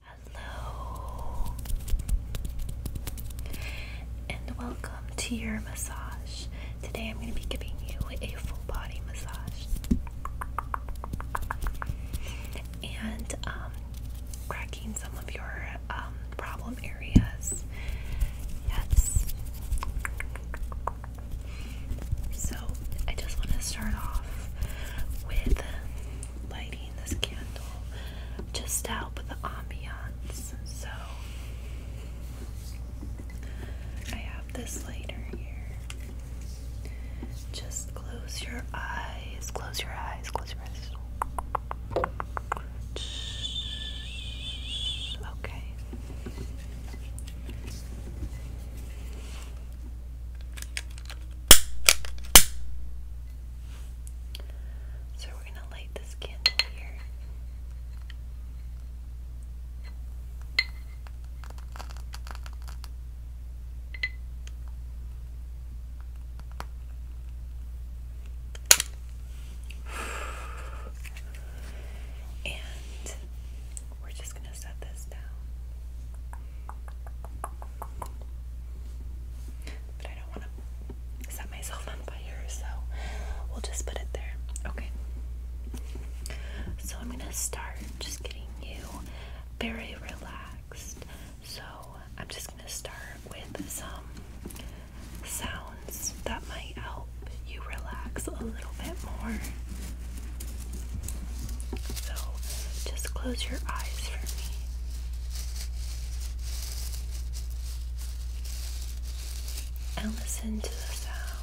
Hello, and welcome to your massage. Today I'm going to be giving you a full body massage and um, cracking some of your um, problem areas. Yes. So I just want to start off with lighting this candle just to help with the ambiance. So I have this later here. Just close your eyes, close your eyes, close your eyes. Okay. So we're going to light this candle here. And we're just going to set this down. But I don't want to set myself on fire, so we'll just put it there. Okay. So I'm going to start just getting you very relaxed. So I'm just going to start with some sounds that might help you relax a little bit more. So just close your eyes for me and listen to the sound.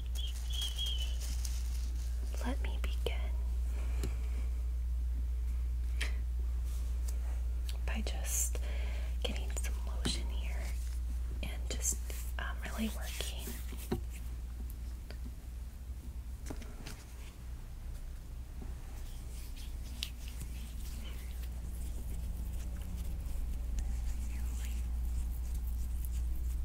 Let me begin by just getting some lotion here and just um, really working.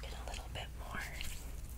Get a little bit more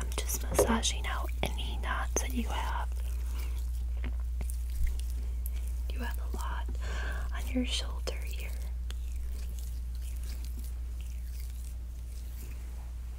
I'm just massaging out any knots that you have. You have a lot on your shoulder here.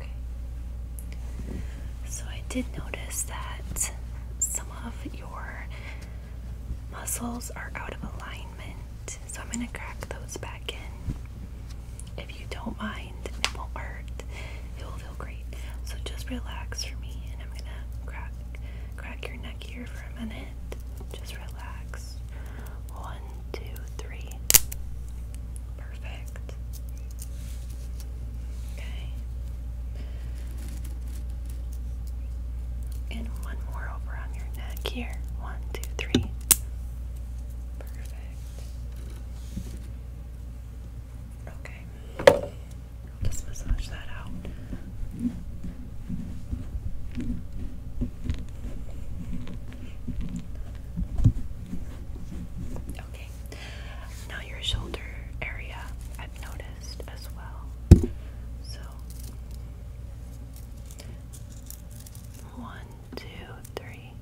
Okay. So I did notice that some of your muscles are out of alignment. So I'm going to crack those back in. If you don't mind, it won't hurt. It will feel great. So just relax for me and I'm going to crack Crack your neck here for a minute. Just relax. One, two, three. Perfect. Okay. And one more over on your neck here. One, two, three. Perfect. Okay. Let's massage that out. Okay, now your shoulder area I've noticed as well. So, one, two, three.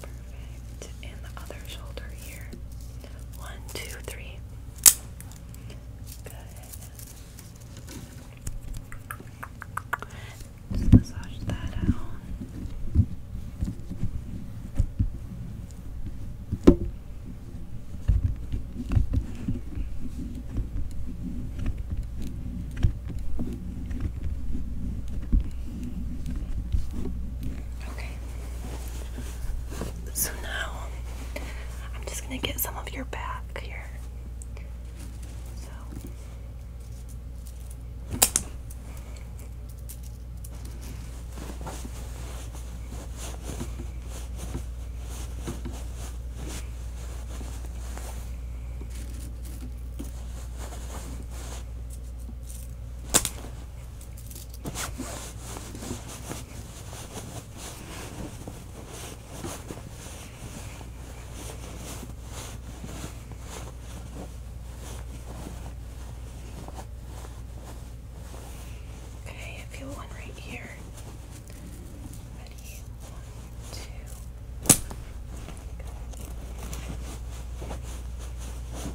Perfect. And the other shoulder here. One, two, three. Good. Just massage that out. Okay. So now I'm just going to get some of your back here. Okay, I feel one right here. Ready? One, two. Good.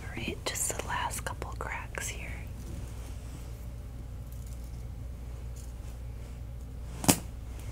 All right, just the last couple cracks here.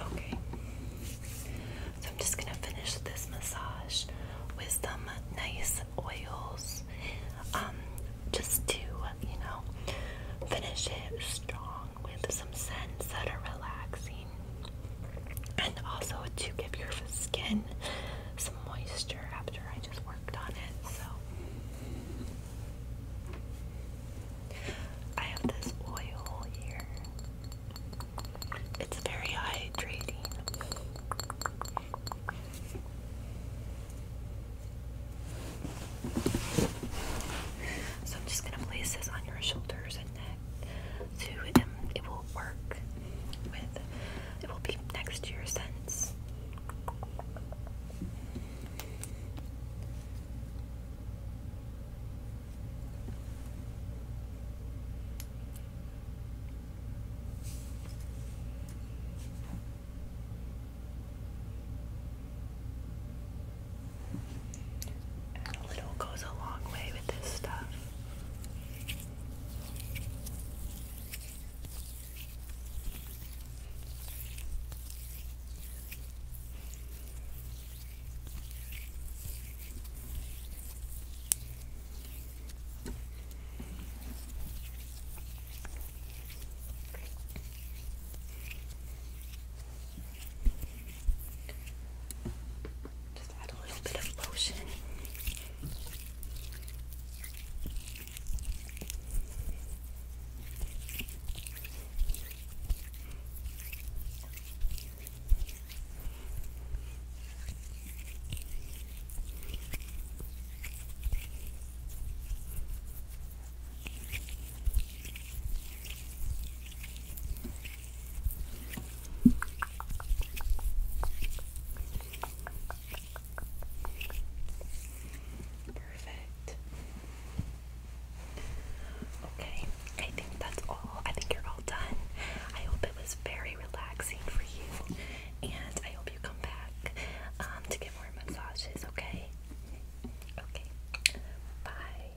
Okay. So I'm just going to finish this massage with some nice oils um, just to, you know, finish it strong with some scents that are relaxing and also to give your skin some moisture after I just worked on it. So I have this oil here. It's very hydrating. So I'm just going to place this on your shoulders and neck to um, it will work with it will be next to your a little goes a long way with this stuff. Just add a little bit of lotion. Perfect. Okay, I think that's all. I think you're all done. I hope it was very relaxing for you, and I hope you come back um, to get more massages, okay? Okay, bye.